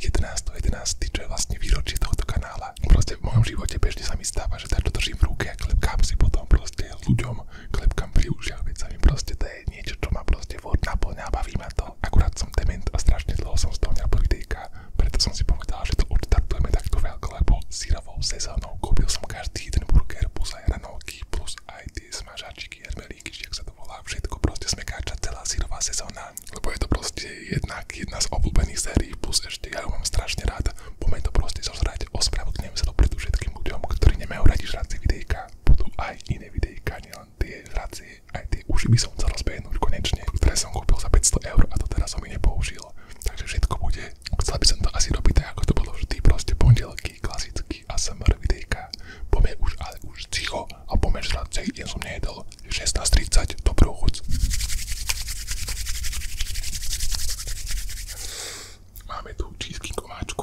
11. 11. čo je vlastne výročie tohto kanála. Proste v mojom živote bežne sa mi stáva, že takto držím v ruke a klepkám si potom proste ľuďom, klepkám pri ušiach, veď sa mi proste to je niečo, čo ma proste furt naplňa, baví ma to. Akurát som dement a strašne dlho som z toho nerobil videjka, preto som si povedal, že to odštartujeme takto veľko, lebo sírovou sezónou kúpil som každý jeden burger plus aj ranolky, plus aj tie smažačiky, hermelíky, či ak sa to volá, všetko proste smekáča celá sírová sezóna lebo je to proste jednak jedna z obľúbených sérií, plus ešte ja mám strašne rád. Poďme to proste zožrať, ospravedlňujem sa to všetkým ľuďom, ktorí nemajú radi žracie videjka, budú aj iné videjka, nielen tie žracie, aj tie uši by som chcel rozbehnúť konečne, ktoré som kúpil za 500 eur a to teraz som ich nepoužil. Takže všetko bude. Chcel by som to asi robiť ako to bolo vždy, proste pondelky, klasicky ASMR videjka. Poďme už, ale už ticho a poďme žrať, som nejedol. 16.30. Dobrú chuť. Máme tu čísky komáčku.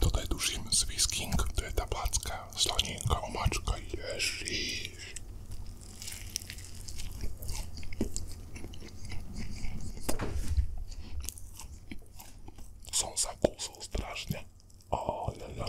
Toto je duším z King, to je tá placka, slanienka, omáčka, ježiš. Som sa kúsul strašne. Oh, la, la.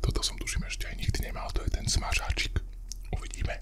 Toto som tuším ešte aj nikdy nemal, to je ten smažáčik. Uvidíme.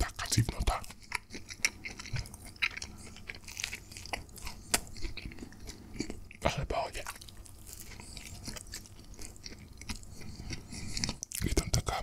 Taká zivnota. Ale pohode. Je tam taká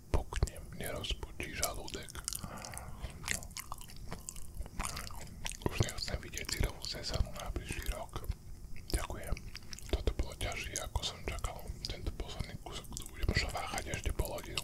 si poknem, nerozpočí žalúdek. Už nechcem vidieť sírovú sezónu na bližší rok. Ďakujem. Toto bolo ťažšie, ako som čakal. Tento posledný kúsok tu budem šováchať ešte pol hodinu.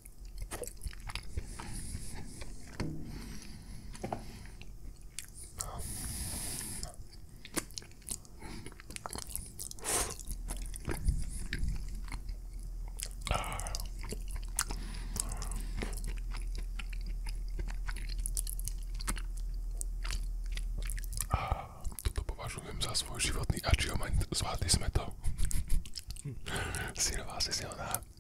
A toto považujem za svoj životný achievement, zvládli sme to. Hm. Syrová sesiona.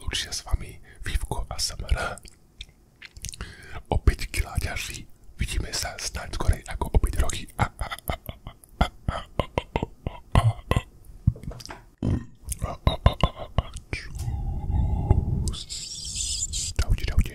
Lúčia s vami Vivko a Samara. Opäť kila ďalší. Vidíme sa snáď skorej ako o 5 roky. A, a, a, a, a, a, a, a, a, a. Čus. Čaute, čaute.